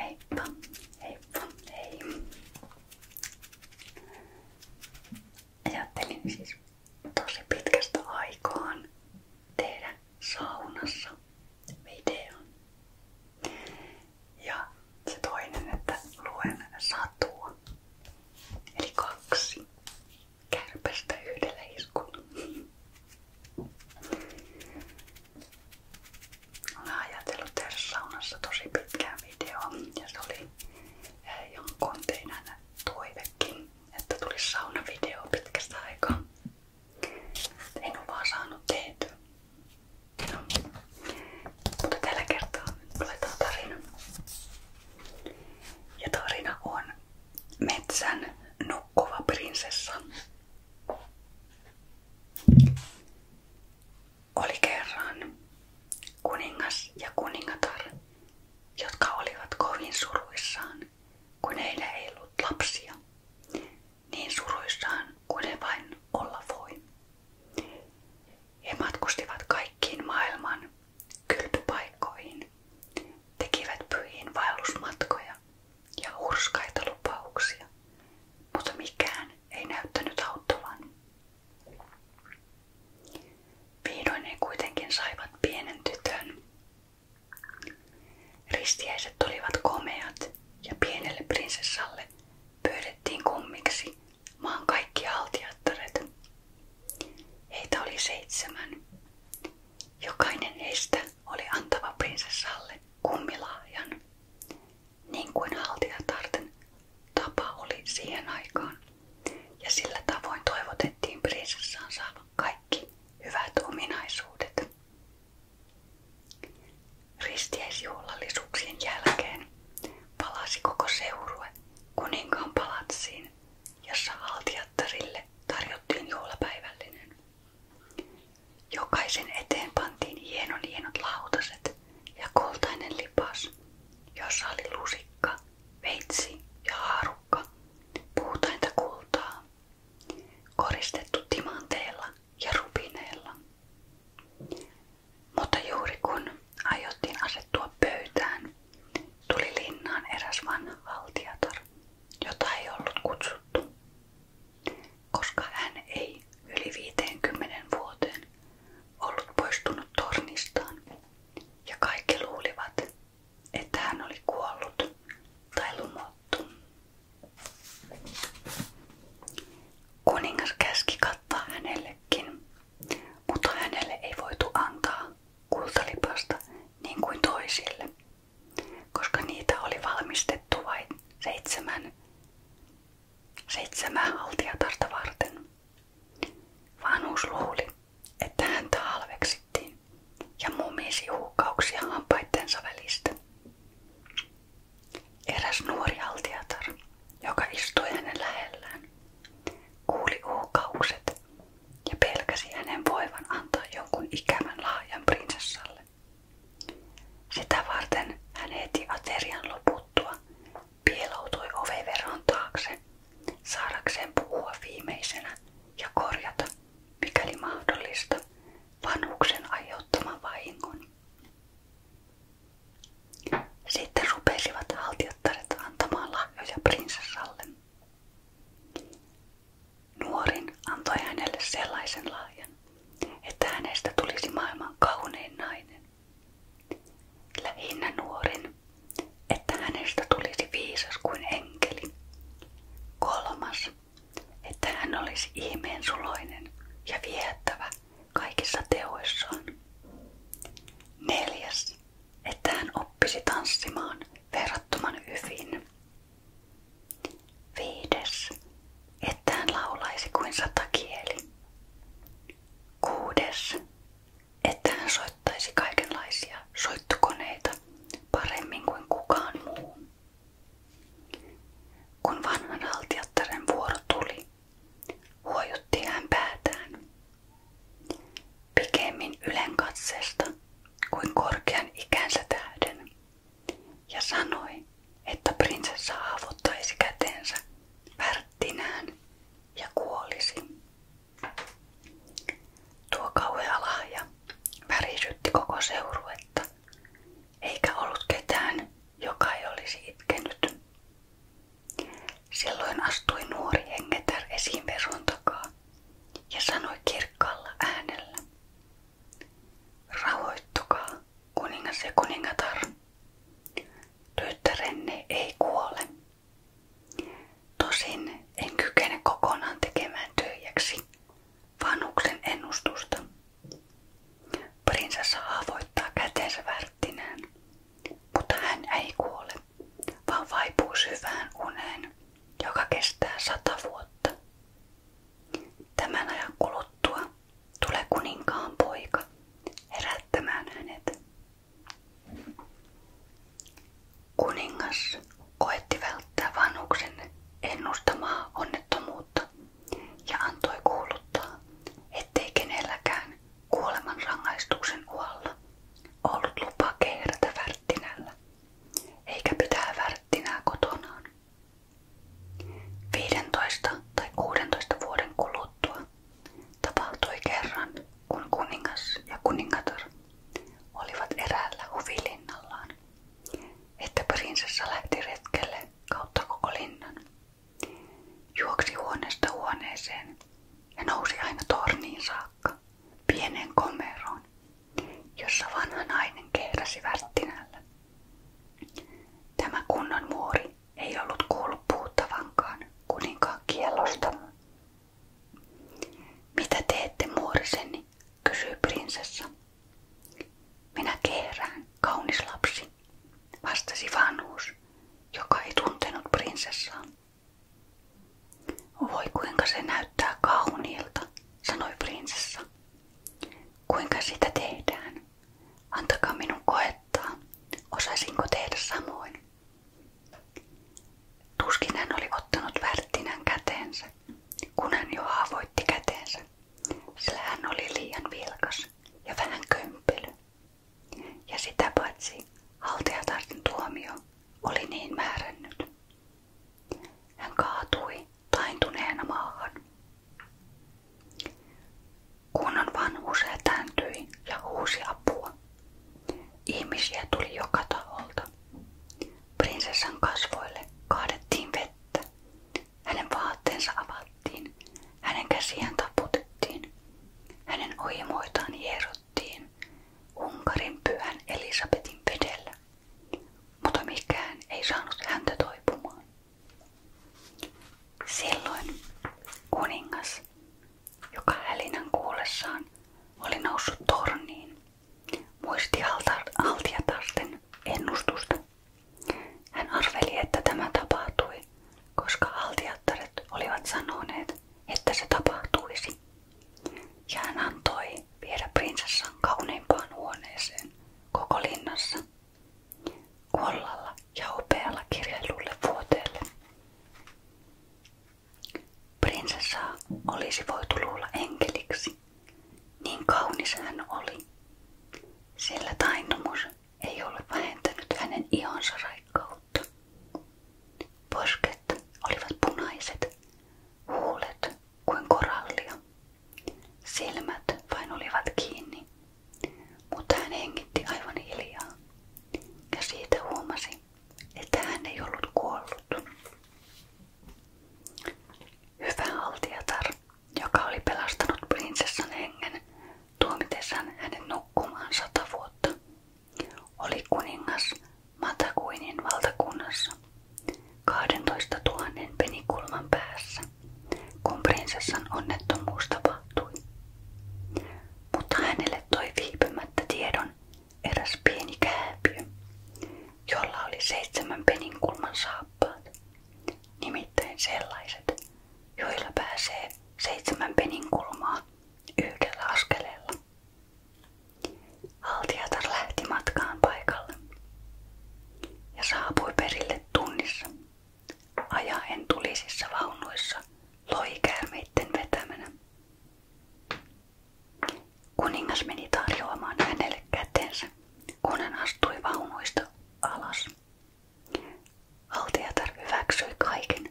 Heippa, heippa, hei. Ajattelin siis tosi pitkästä aikaan tehdä saunassa videon. Ja se toinen, että luen satua. Eli kaksi kärpästä yhdellä iskulla. Olen ajatellut tehdä saunassa tosi pitkään videoon ja se oli eh, jonkun teidän toivekin, että tuli saunavideo pitkästä aikaa. En oo vaan saanut tehtyä. No. Mutta tällä kertaa nyt luetaan tarina. Ja tarina on Metsän nukkuva prinsessa. Oli kerran kuningas ja kuningatar, jotka olivat kovin suruissaan, kun heillä ei lapsia, niin suruissaan kuin vain olla voi. He matkustivat kaikkiin maailman kylpypaikkoihin, tekivät pyhiin vaellusmatkoja ja hurskaita lupauksia, mutta mikään ei näyttänyt auttavan. Vihdoin he kuitenkin saivat pienen tytön. Ristiäiset olivat komeat ja pienelle prinsessalle pyydettiin kummiksi maan kaikki altiattaret. Heitä oli seitsemän. Jokainen heistä oli antava prinsessalle kummilahjan, niin kuin haltijatarten tapa oli siihen aikaan, ja sillä tavoin toivotettiin prinsessaan saavan kaikki hyvät ominaisuudet. Ristiäisjuhlallisuuksien jälkeen palasi koko seurue kuninkaan palatsiin, jossa haltijattarille tarjottiin juhlapäivällinen. Jokaisen eteen pantiin hienon hienot lautaset ja koltainen lipas, jossa oli lusikka, veitsi ja haarukka, puutainta kultaa, koristettu timanteella ja rubineella. Mutta juuri kun aiottiin asettua pöytään, tuli linnaan eräs vanha valtiatar, jota ei ollut kutsuttu koska hän ei yli 50 vuoteen ollut poistunut tornistaan ja kaikki luulivat, että hän oli kuollut tai lumottu. Kuningas käski kattaa hänellekin, mutta hänelle ei voitu antaa kultalipasta niin kuin toisille, koska niitä oli valmistettu vain seitsemän Seitsemää haltijatarta varten. Vanhus luuli, että häntä halveksittiin ja mumisi huukauksia hampaittensa välistä. Eräs nuori haltijatar, joka istui hänen lähellään, kuuli huukaukset ja pelkäsi hänen voivan antaa jonkun ikävän lahjan prinsessalle. Sitä varten hän heti aterian loputtua pieloutui oveveron taakse saadakseen puhua viimeisenä ja korjata, mikäli mahdollista, vanhuksen aiheuttaman vahingon. Sitten rupesivat haltiottaret antamaan lahjoja prinsessalle. Nuorin antoi hänelle sellaisen lahjan, että hänestä tulisi maailman kaunein nainen. Lähinnä nuorin, että hänestä tulisi viisas kuin enkeli. Kolmas, että hän olisi ihmeen suloinen ja viehättävä kaikissa teoissaan. Neljäs, että hän oppisi tanssimaan verrattoman hyvin. Viides, että hän laulaisi kuin sata kieli. Kuudes, että hän soittaisi kaikenlaisia soittokoneita paremmin kuin kukaan muu. Kun vanhan haltijattaren vuoro tuli, huojutti hän päätään. Pikemmin ylenkatseesta kuin korkean ikänsä tähden, ja sanoi, että prinsessa avuttaisi kätensä värttinään ja kuolisi. Tuo kauhea lahja värisytti koko seuruetta, eikä ollut ketään, joka ei olisi itkenyt. Silloin astui nuori hengetär esiin veron takaa ja sanoi kirkkaalla äänellä, rauhoittukaa, kuningas ja kuningatar. Tyttärenne ei kuole. Tosin en kykene kokonaan tekemään tyhjäksi vanhuksen ennustusta. Prinsessa haavoittaa kätensä värttinään, mutta hän ei kuole, vaan vaipuu syvään uneen, joka kestää sata vuotta. Tämän ajan kuluttua Tule kuninkaan poika herättämään hänet. Kuningas koetti välttää vanhuksen ennustamaa onnettomuutta ja antoi kuuluttaa, ettei kenelläkään kuoleman rangaistuksen uhalla ollut lupa kehrätä värttinällä, eikä pitää värttinää kotonaan, 15 tai 16 vuoden kuluttua tapahtui kerran, kun kuningas ja kuningatar olivat eräällä huvilinnallaan, että prinsessa lähti retkelle kautta koko Juoksi huoneesta huoneeseen ja nousi aina torniin saakka, pieneen komeroon, jossa vanha nainen kehräsi Tämä kunnon muori ei ollut kuullut kuninkaan kiellosta. Mitä teette muoriseni? kysyi prinsessa. Minä kehrään, kaunis lapsi, vastasi vanhus, joka ei tuntenut prinsessaa. Voi kuinka se näyttää kauniilta, sanoi prinsessa. Kuinka sitä tehdään? Antakaa minun koettaa, osaisinko tehdä samoin. Tuskin hän oli ottanut värttinän käteensä, kun hän jo haavoitti käteensä, sillä hän oli liian vilkas ja vähän kömpelö. Ja sitä paitsi haltijatartin tuomio oli niin määrännyt. Hän kaatui taintuneena maahan Kunnan vanhus hätääntyi ja huusi apua. Ihmisiä tuli joka taholta. Prinsessan kasvoille kaadettiin Hänen vaatteensa avattiin. Hänen käsiään taputettiin. Hänen oimoitaan hierottiin Unkarin pyhän Elisabetin vedellä. Mutta mikään ei saanut häntä toipumaan. Silloin kuningas, joka hälinän kuullessaan oli noussut torniin, muisti Altiatarten ennustusta. Hän arveli, että tämä tapahtui, koska Altiattaret olivat sanoneet, että se tapahtuisi. Ja hän antoi viedä prinsessan kauneimpaan huoneeseen koko kuollalla ja upealla kirjailulle vuoteelle. Prinsessaa olisi voitu luulla enkeliksi, niin kaunis hän oli, sillä tainnumus ei ole vähentänyt hänen ihonsa raikkautta. Posket olivat punaiset, huulet kuin korallia. Silmät vain olivat kiinni mutta hän hengitti aivan hiljaa. Ja siitä huomasi, että hän ei ollut kuollut. Hyvä altiatar, joka oli pelastanut prinsessan hengen tuomitessaan hänen nukkumaan sata oli kuningas Matakuinin valtakunnassa 12 000 penikulman päässä kun prinsessan onnettomuus tapahtui. Mutta hänelle toi viipymättä tiedon eräs pieni kääpiö, jolla oli seitsemän penin kulman saappaat, nimittäin sellaiset, joilla pääsee seitsemän penin kulmaa yhdellä askeleella. Altiatar lähti matkaan paikalle ja saapui perille tunnissa Aja en tulisissa vaunuissa loikäärmeitten vetämänä. Kuningas meni tarjoamaan hänelle kätensä, kun hän astui vaunuista alas. Altiatar hyväksyi kaiken,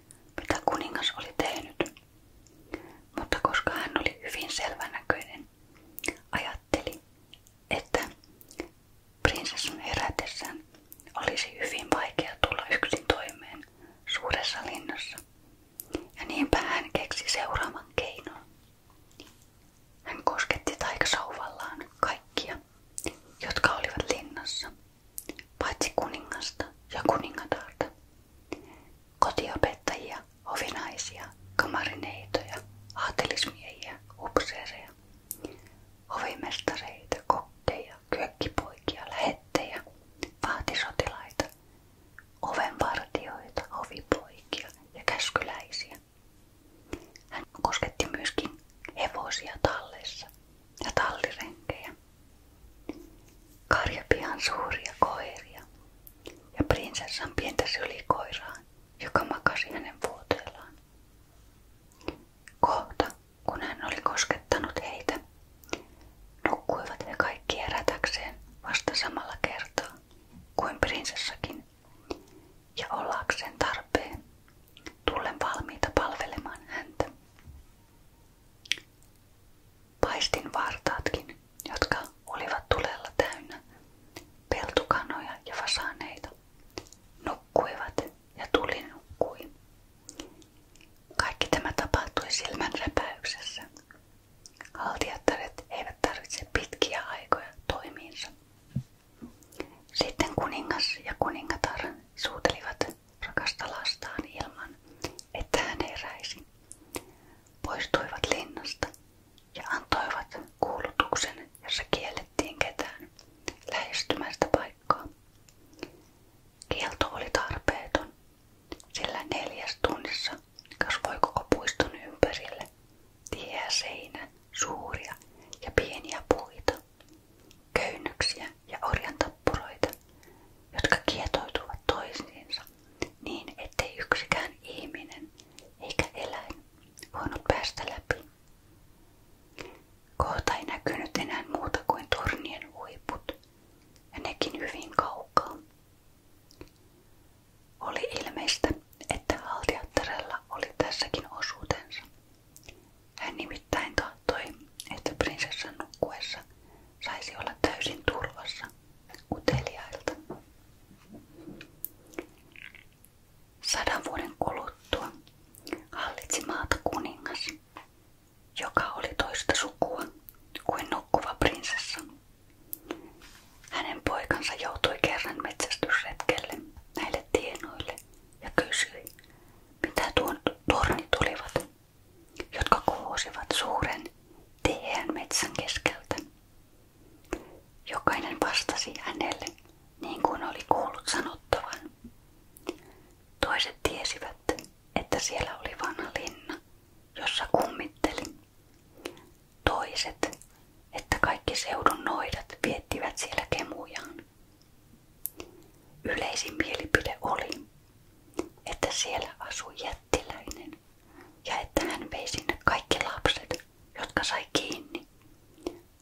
mitä kuningas oli tehnyt, mutta koska hän oli hyvin selvänäköinen, ajatteli, että Prinsessun herätessään olisi hyvin vaikea tulla yksin toimeen suuressa ja niinpä hän keksi seuraavan keinon. Hän kosketti taikasauvallaan kaikkia, jotka olivat linnassa, paitsi kuningasta ja kuningatarta, kotiopettajia, ovinaisia, kamarineitoja, aatelismiehiä, upseereja hovimestareita, kokkeja, kyökkipoikia, lähettejä, vahtisotilaita, ovenvartioita, ovipoikia ja käskyläisiä. Hän kosketti myöskin hevosia tallessa ja tallirenkejä, karjapihan suuria koiria ja prinsessan pientä sylikoiraa, joka makasi hänen vuoteellaan. Kohta kun hän oli koskettanut heitä, nukkuivat he kaikki herätäkseen vasta samalla kertaa kuin prinsessakin ja ollakseen tarpeen tullen valmiita palvelemaan häntä. Paistin vartaatkin, jotka olivat tulella täynnä peltukanoja ja fasaneita. Nukkuivat ja tuli nukkui. Kaikki tämä tapahtui silmän räpäyksessä. Haltijattaret eivät tarvitse pitkiä aikoja toimiinsa. Sitten kuningas ja kuningatar suutelivat rakasta lastaan ilman, että hän heräisi. Poistuivat linnasta ja antoivat kuulutuksen, jossa kiellettiin ketään lähestymästä paikkaa. Kielto oli tarpeeton, sillä neljäs tunnissa kasvoi koko ympärille tiheä suuria ja pieniä puita, köynnöksiä ja orjantappuroita, jotka kietoutuvat toisiinsa niin, ettei yksikään ihminen eikä eläin voinut päästä läpi. Kohta ei näkynyt enää muuta kuin tornien huiput, ja nekin hyvin kaukaa. Oli ilmeistä, että haltiattarella oli tässäkin osuutensa. Hän nimittäin tahtoi, että prinsessan nukkuessa saisi olla täysin turvassa uteliailta. Sadan vuoden kuluttua hallitsi maata kuningas, joka oli toista sukua kuin nukkuva prinsessa. Hänen poikansa joutui kerran metsästysretkelle näille tienoille ja kysyi, mitä tuon tornit olivat, jotka kuosivat suuren tiheän metsän keskeltä. Jokainen vastasi hänelle niin kuin oli kuullut sanottavan. Toiset tiesivät, että siellä oli vanha linna, jossa kummitteli. Toiset, että kaikki seudun noidat viettivät siellä kemujaan. Yleisin mielipide oli, että siellä asui jättiläinen ja että hän vei sinne kaikki lapset, jotka sai kiinni,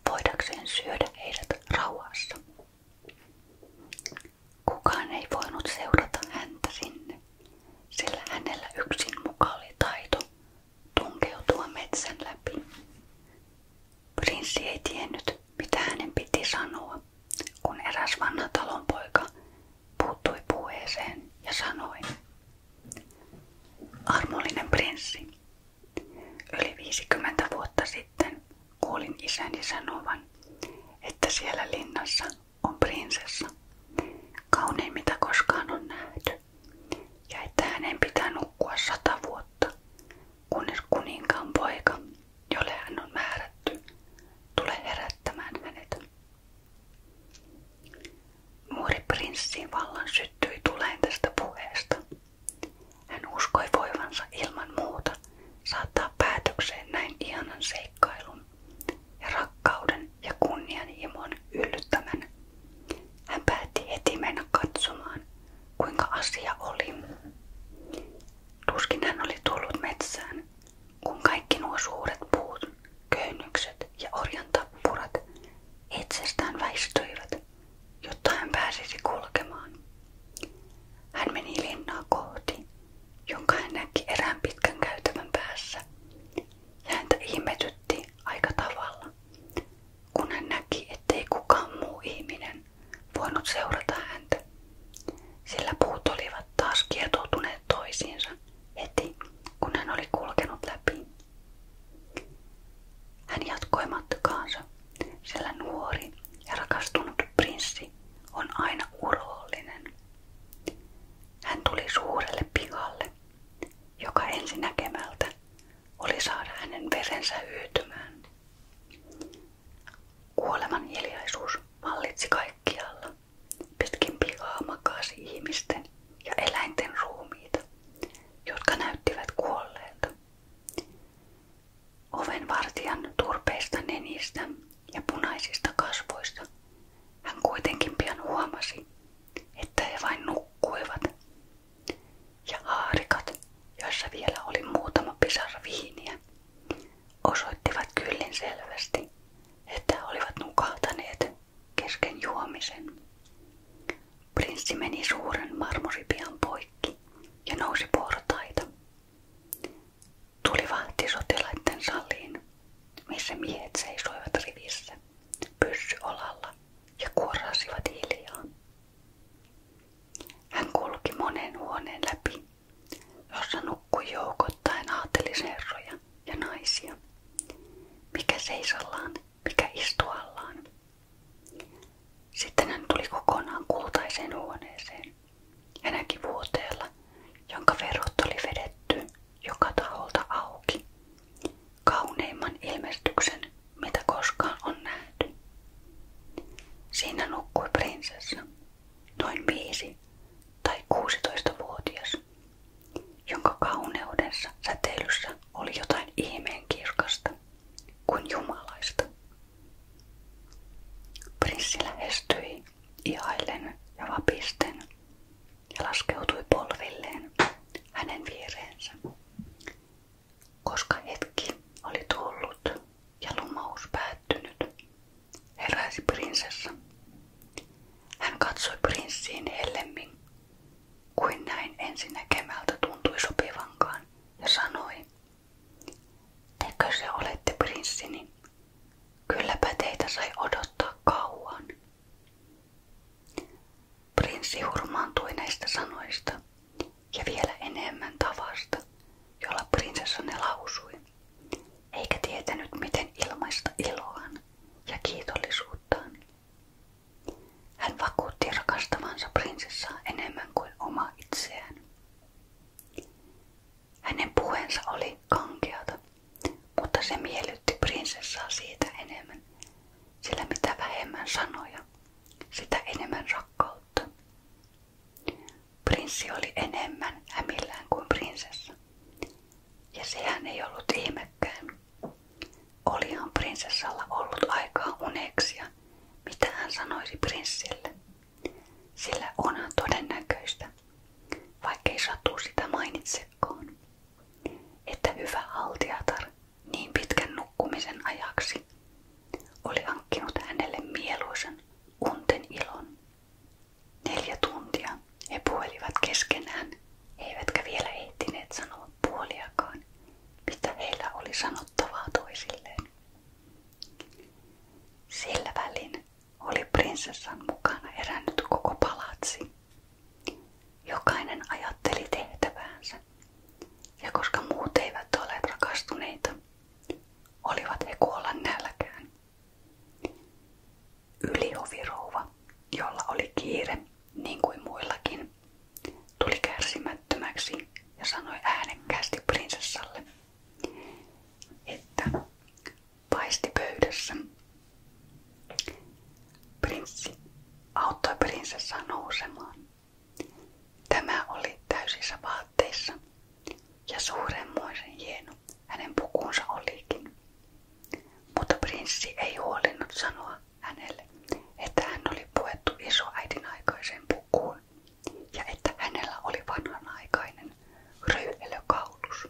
voidakseen syödä heidät rauhassa. Kukaan ei voinut seurata häntä sinne, sillä hänellä yksin muka oli taito tunkeutua metsän läpi. Prinssi ei tiennyt, mitä hänen piti sanoa, kun eräs vanha talonpoika puuttui puheeseen ja sanoi. Armollinen prinssi, yli 50 vuotta sitten Kuulin isäni sanovan, että siellä linnassa on prinsessa, kaunein mitä koskaan on nähty, ja että hänen pitää nukkua sata vuotta, kunnes kuninkaan poika, jolle hän on määrätty, tulee herättämään hänet. Muuri prinssin vallan syttyi tuleen tästä puheesta. Hän uskoi voivansa ilman muuta saattaa päätökseen näin ihanan seikkailun ja rakkauden ja kunnianhimon yllyttämän. Hän päätti heti mennä katsomaan, kuinka asia oli. Tuskin hän oli tullut metsään, kun kaikki nuo suuret puut, köynykset ja orjan tappurat itsestään väistyivät, jotta hän pääsisi kulkemaan. Hän meni linnaa kohti, jonka hän näki erään pitkän päässä, ja häntä ihmetytti aika tavalla, kun hän näki, ettei kukaan muu ihminen voinut seurata häntä, sillä puut olivat taas kietoutuneet kun hän oli kulkenut läpi. Hän jatkoi matkaansa sillä nuori ja rakastunut prinssi on aina urollinen. Hän tuli suurelle pihalle, joka ensi näkemältä oli saada hänen verensä hyytymään. Kuoleman hiljaisuus vallitsi kaikkialla. Pitkin pihaa makasi ihmisten ja eläinten ruumiita, jotka näyttivät kuolleelta. Ovenvartijan turpeista nenistä ja punaisista kasvoista hän kuitenkin pian huomasi, että he vain nukkuivat. Ja haarikat, joissa vielä oli muutama pisara viiniä, osoittivat kyllin selvästi, että he olivat nukahtaneet kesken juomisen. Prinssi meni suuren marmoripian poikki ja nousi portaita. Tuli vahti sotilaitten missä miehet seisoivat rivissä, pyssy olalla ja kuorasivat hiljaa. Hän kulki monen huoneen läpi, jossa nukkui joukoittain ja naisia, mikä seisallaan, mikä istuallaan. Sitten hän tuli kokonaan kultaiseen huoneeseen, Hänäkin vuoteella, jonka verhot oli vedetty joka taholta auki. Kauneimman ilmestyksen, mitä koskaan on nähty. Siinä nukkui prinsessa, noin viisi tai 16-vuotias, jonka kauneudessa säteilyssä oli jotain ihmeen kirkasta, kuin jumalaista. Prinssi lähestyi ihaillen ja vapisten ja laskeutui polvilleen hänen viereensä. Koska hetki oli tullut ja lumous päättynyt, heräsi prinsessa. Hän katsoi prinssiin hellemmin, kuin näin ensinnäkemältä tuntui sopivankaan, ja sanoi, Tekö se olette prinssini? Niin kylläpä teitä sai odottaa kauan. Prinssi hurmaantui näistä sanoista ja vielä enemmän tavasta, jolla prinsessa ne lausui, eikä tietänyt miten ilmaista iloaan ja kiitollisuuttaan. Hän vakuutti rakastavansa prinsessaa enemmän kuin oma itseään. Hänen puheensa oli kankeata, mutta se miellytti prinsessaa siitä enemmän, sillä mitä vähemmän sanoja, sitä enemmän rakkautta. Prinssi oli enemmän hämillään kuin prinsessa, ja sehän ei ollut ihmekään. Olihan prinsessalla ollut aikaa uneksia, mitä hän sanoisi prinssille. Sillä onhan todennäköistä, vaikkei satu sitä mainitsekaan, että hyvä haltijatar niin pitkän nukkumisen ajaksi oli hankkinut hänelle mieluisen unten ilon. Neljä tuntia he puhelivat keskenään, eivätkä vielä ehtineet sanoa puoliakaan, mitä heillä oli sanottavaa toisilleen. Sillä välin oli prinsessan mukana herännyt koko palatsi. Jokainen ajatteli tehtäväänsä, ja koska muut eivät ole rakastuneita, olivat he kuolla nälkään. Yliovirouva, jolla oli kiire niin kuin muillakin, tuli kärsimättömäksi ja sanoi äänekkäästi prinsessalle että paistipöydässä prinssi auttoi prinsessaa nousemaan. Tämä oli täysissä vaatteissa ja suuremmoisen hieno hänen pukuunsa olikin. Mutta prinssi ei huolinnut sanoa hänelle, että hän oli puettu isoäidin aikaiseen pukuun kasvoi ja että hänellä oli vanhanaikainen röyhelökaulus.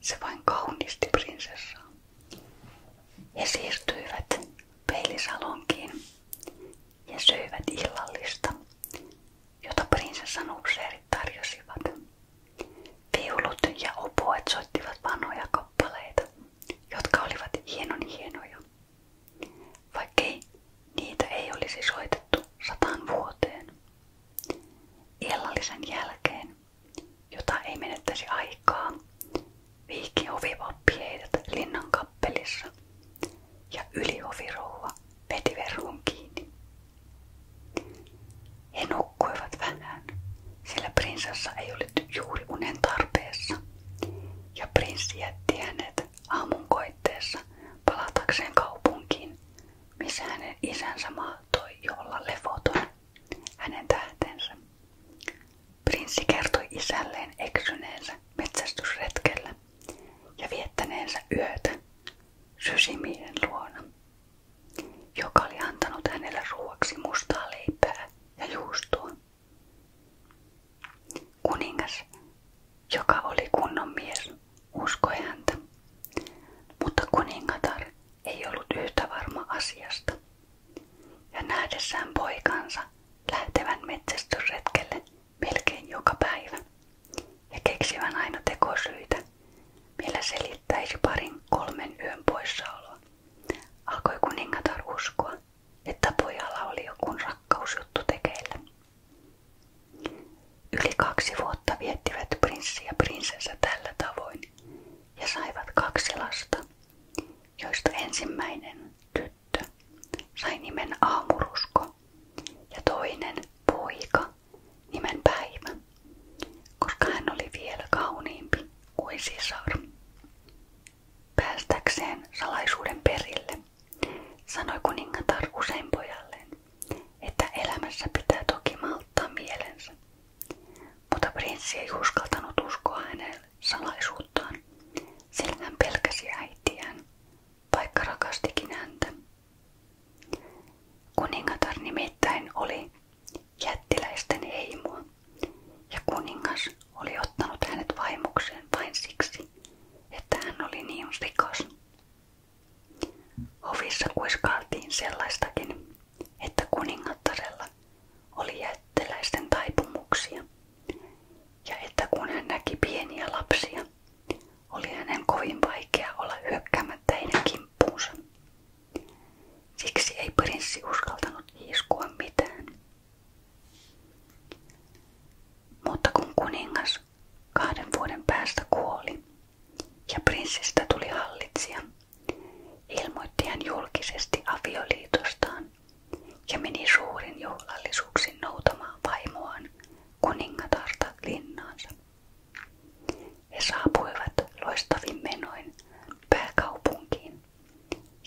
Se vain kaunisti prinsessaa. He siirtyivät peilisalonkiin ja söivät illallista, jota prinsessan upseerit tarjosivat. Viulut ja opuet soittivat vanhoja kappaleita, jotka olivat hienon hienoja. Vaikkei Niitä ei olisi soitettu sataan vuoteen. Illallisen jälkeen, jota ei aikaa, viikki ovivappi heidät linnan kappelissa ja yliovirouva veti kiinni. He vähän, sillä prinsessa ei ollut juuri unen tarpeessa, ja prinssi jätti hänet aamun koitteessa palatakseen kaupunkiin, missä hänen isänsä mahtoi jo olla levoton hänen tähtensä. Prinssi kertoi isälleen eksyneensä metsästysretkellä ja viettäneensä yötä sysimiehen luona, joka oli antanut hänelle ruoaksi mustaa leipää ja juustoa. Kuningas joka oli kunnon mies, uskoi häntä. Mutta kuningatar ei ollut yhtä varma asiasta. Ja nähdessään poikansa lähtevän metsästysretkelle melkein joka päivä ja keksivän aina tekosyitä, millä selittäisi parin kolmen yön poissaoloa, alkoi kuningatar uskoa, että pojalla oli joku rakkausjuttu tekeillä. Yli kaksi vuotta viettivät prinssi ja prinsessa tällä tavoin ja saivat kaksi lasta, joista ensimmäinen tyttö sai nimen Aamurusko ja toinen poika nimen Päivä, koska oli vielä kauniimpi kuin sisar. Päästäkseen salaisuuden perille sanoi kuningatar usein pojalleen, että elämässä pitää toki malttaa mielensä. Mutta prinssi ei uskaltanut uskoa hänen salaisuuttaan, sillä hän pelkäsi äitiään, vaikka rakastikin häntä. Kuningatar nimittäin oli jättiläisten heimoa, ja kuningas oli ottanut hänet vaimokseen vain siksi, että hän oli niin rikas. Hovissa kuiskailtiin sellaistakin, että kuningattarella oli jättiläisten taipumuksia, ja että kun hän näki pieniä lapsia, oli hänen kovin vaikea olla hyökkäämättä heidän kimppuunsa. Siksi ei prinssi uskaltanut hiiskua mitään. Mutta kun kuningas Kahden vuoden päästä kuoli ja prinssistä tuli hallitsija. Ilmoitti hän julkisesti avioliitostaan ja meni suurin juhlallisuuksin noutamaan vaimoaan kuningatarta linnaansa. He saapuivat loistavin menoin pääkaupunkiin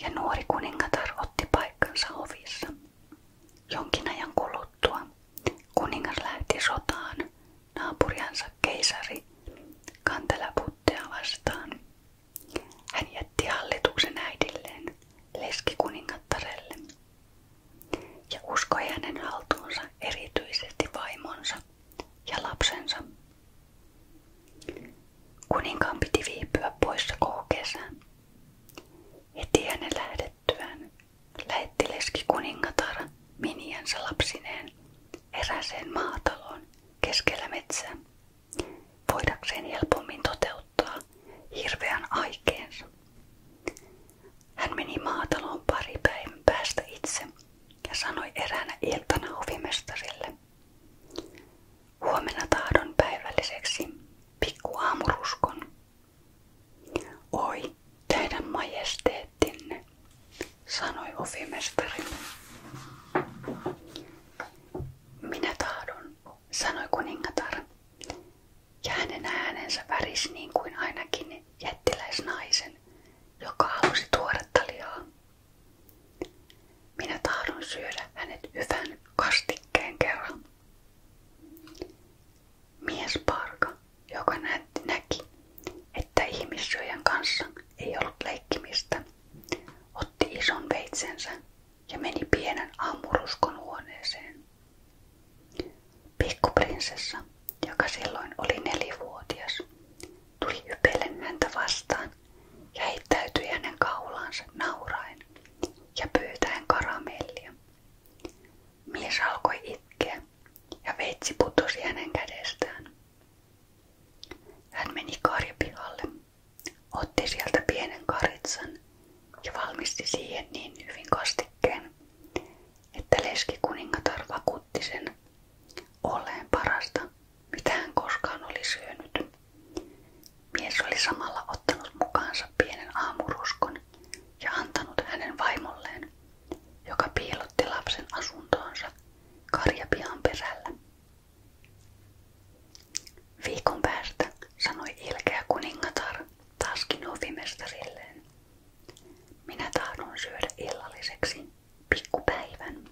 ja nuori kuningatar otti paikkansa ovissa. Jonkin ajan kuluttua kuningas lähti sotaan naapuriansa keisari Kantelaputtea Hän jätti hallituksen äidilleen leskikuningattarelle ja uskoi hänen haltuunsa erityisesti vaimonsa ja lapsensa. Kuninkaan piti viipyä poissa koko kesän. Heti hänen lähdettyään päätettyään lähettileski kuningatar miniänsä lapsineen eräseen maataloon keskellä metsää, voidakseen helpommin toteuttaa hirveän aikeensa. Hän meni maataloon pari päivän päästä itse ja sanoi eräänä iltana hovimestarille. Huomenna tahdon päivälliseksi pikku aamuruskon. Oi, teidän majesteettinne, sanoi ofimestari. Minä tahdon, sanoi kuningatar, ja hänen äänensä värisi niin kuin ainakin jättiläisnaisen, joka halusi tuoretta lihaa. Minä tahdon syödä hänet hyvän kastikkeen kerran. Miesparka, joka näytti että ihmissyöjän kanssa ei ollut leikkimistä, otti ison veitsensä ja meni pienen aamuruskon huoneeseen. Pikkuprinsessa, joka silloin oli nelivuotias, tuli ypellen häntä vastaan ja heittäytyi hänen kaulaansa nauraen ja pyytäen karamellia. Mies alkoi itkeä ja veitsi putosi hänen kädestään. Hän meni karjapihalle, otti sieltä pienen karitsan ja valmisti siihen niin hyvin kastikkeen, että leskikuningatar vakuutti sen olleen parasta, mitä hän koskaan oli syönyt. Mies oli samalla ottanut mukaansa pienen aamuruskon ja antanut hänen vaimolleen, joka piilotti lapsen asuntoonsa karjapian perällä. Viikon päästä sanoi ilkeä kuningatar taaskin hovimestarilleen. Minä tahdon syödä illalliseksi pikkupäivän.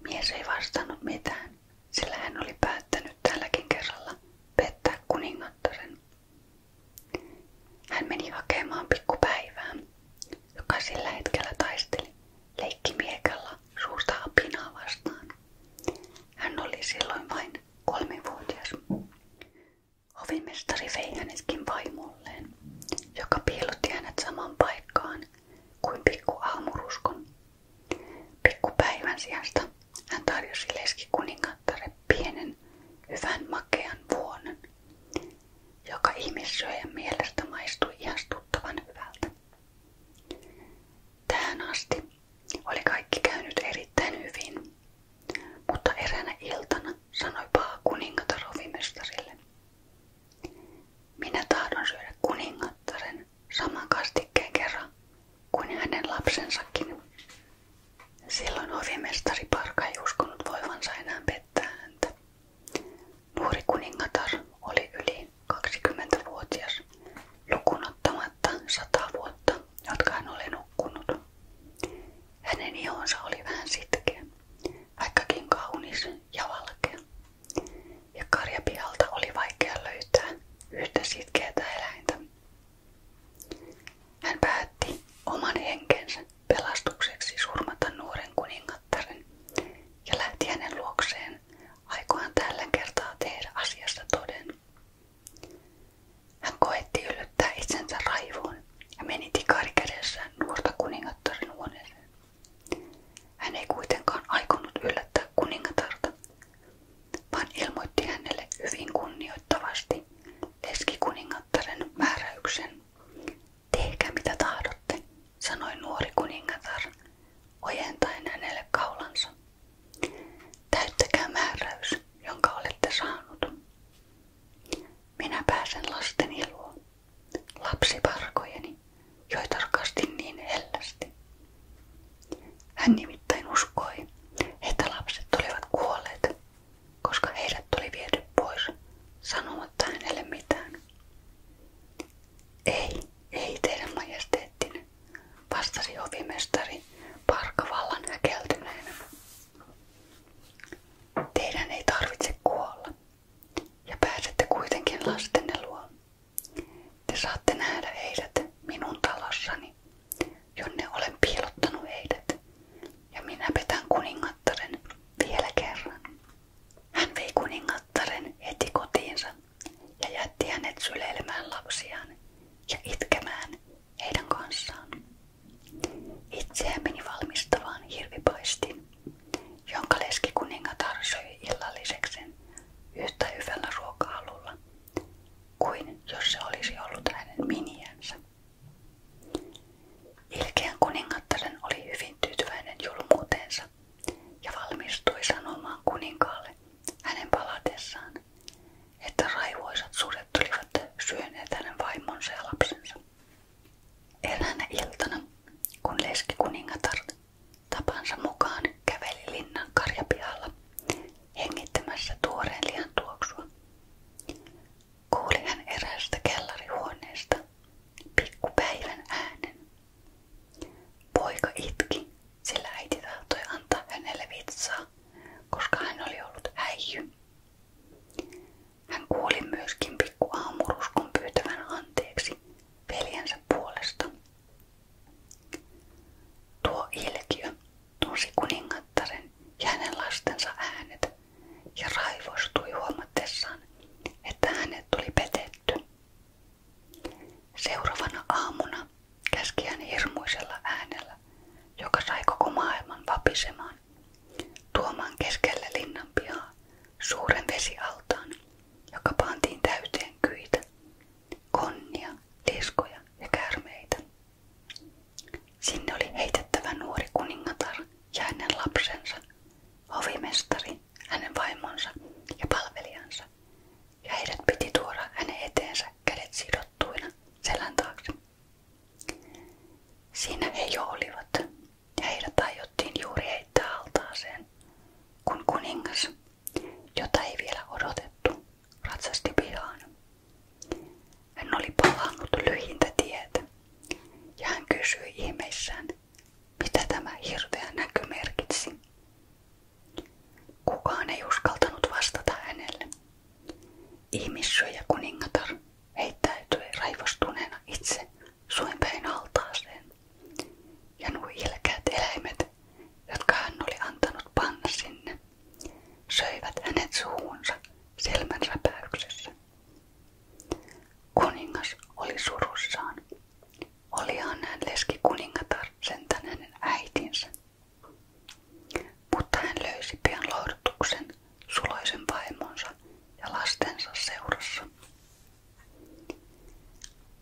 Mies ei vastannut mitään, sillä hän oli päättänyt tälläkin kerralla pettää kuningattaren hän meni hakemaan pikkupäivää, joka sillä hetkellä taisteli leikkimiekalla suurta apinaa Hän oli silloin vain kolmivuotias. Hovimestari vei hänetkin vaimolleen, joka piilotti hänet paikkaan kuin pikku aamuruskon. Pikkupäivän sijasta hän tarjosi leskikuningan makkare pienen, hyvän makean vuonon, joka ihmissyöjän mielestä maistui ihastuttavan hyvältä. Tähän asti oli kaikki käynyt erittäin hyvin, mutta eräänä iltana sanoi paha kuningatar hovimestarille. Minä tahdon syödä kuningattaren saman kastikkeen kerran kuin hänen lapsensakin. Silloin hovimestari Parka ei uskonut voivansa enää pettää häntä. Nuori kuningatar oli yli 20-vuotias, lukunottamatta 100 vuotta, jotka hän oli nukkunut. Hänen ihonsa oli vähän sitkeä, vaikkakin kaunis ja valkea. Ja karjapihalta oli vaikea löytää yhtä sitkeätä eläintä, hän päätti oman henkensä pelastukseksi surmata nuoren kuningattaren ja lähti hänen luokseen aikoaan tällä kertaa tehdä asiasta toden. Hän koetti yllyttää itsensä raivoon ja meni tikari nuorta kuningattaren huoneeseen. Hän ei kuitenkaan aikonut yllättää kuningatarta, vaan ilmoitti hänelle hyvin kunnioittavasti, leskikuningattaren määräyksen. Tehkää mitä tahdotte, sanoi nuori kuningatar, ojentaen hänelle kaulansa. Täyttäkää määräys, jonka olette saanut. Minä pääsen lasteni luo, lapsiparkojeni, joita rakastin niin hellästi. Hän nimittäin uskoi, että lapset olivat kuolleet koska heidät tuli viety pois sanomatta hänelle mitään. Ei, ei teidän majesteettinne, vastasi hovimestari parkavallan häkeltyneenä. Teidän ei tarvitse kuolla, ja pääsette kuitenkin lastenne luo. Te saatte nähdä heidät minun talossani, jonne olen piilottanut heidät, ja minä petän kuningattaren vielä kerran. Hän vei kuningattaren heti kotiinsa ja jätti hänet syleilemään lapsiaan ja itkemään heidän kanssaan. Itseään meni valmistavaan hirvipaistin, jonka leski kuningatar söi illalliseksen yhtä hyvällä ruoka-alulla kuin jos se olisi ollut hänen miniänsä. Ilkeän kuningattaren oli hyvin tyytyväinen julmuuteensa ja valmistui sanomaan kuninkaalle hänen palatessaan, että raivoisat sudet olivat syöneet hänen vaimonsa ja lapsensa. Eräänä iltana, kun leski kuningatar tapansa mukaan käveli linnan karjapihalla hengittämässä tuoreen lihan tuoksua, kuuli hän eräästä kellarihuoneesta pikkupäivän äänen. Poika itki, sillä äiti tahtoi antaa hänelle vitsaa, koska hän oli ollut häijy. Hän kuuli myöskin pikku aamuruskon pyytävän anteeksi veljensä puolesta. Tuo ilkiö tunsi kuningattaren ja hänen lastensa äänet ja raivostui huomatessaan, että hänet tuli petetty. Seuraavana aamuna käski hän hirmuisella äänellä, joka sai koko maailman vapisemaan, tuomaan keskelle linnan pihaa suuren vesialtaan, joka pantiin täyteen kyitä, konnia, liskoja ja kärmeitä. Sinne oli heitettävä nuori kuningatar ja hänen lapsensa, hovimestari, hänen vaimonsa ja palvelijansa, ja heidät piti tuoda hänen eteensä kädet sidottuina selän taakse. Siinä he jo olivat, ja heidät aiottiin juuri heittää altaaseen, kun kuningas, jota ei vielä odotettu, ratsasti pihaan hän oli palannut lyhintä tietä ja hän kysyi ihmeissään, mitä tämä hirveä näky merkitsi. Kukaan ei uskaltanut vastata hänelle. Ihmissyöjä kuningatar heittäytyi raivostuneena itse suinpäin altaaseen ja nuo ilkeät eläimet, jotka hän oli antanut panna sinne, söivät hänet suuhunsa silmänsä räpäyksessä. Kuningas oli surussaan. Olihan hän leski kuningatar äitinsä. Mutta hän löysi pian lohdutuksen suloisen vaimonsa ja lastensa seurassa.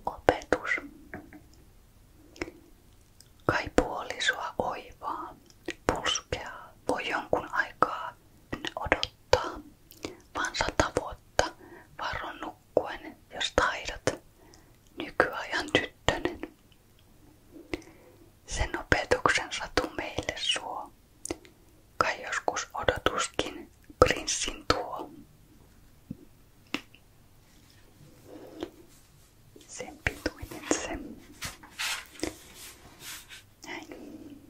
Opetus. Kai puolisua oivaa, pulskeaa, voi jonkun aikaa odottaa, vaan sata vuotta varo nukkuen, jos taidat, nykyajan tyttönen. Sen opetuksen satu meille suo, kai joskus odotuskin prinssin tuo. Sen pituinen se. Näin.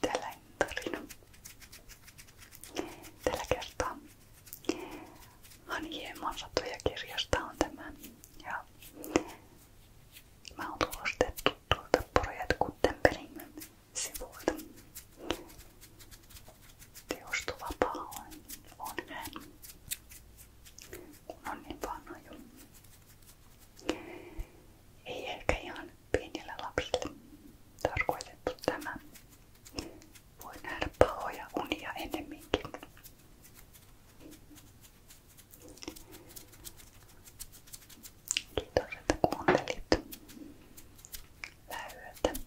Tällainen tarina. Tällä kertaa Haniemon satoja kirjasta on tämä. Ja mä oon tulostettu tuolta Project Gutenbergin sivuilta. Teostovapaa on, on hän, kun on niin vanha jo. Ei ehkä ihan pienille lapsille tarkoitettu tämä. Voi nähdä pahoja unia ennemminkin. Kiitos, että kuuntelit. Hyvää yötä.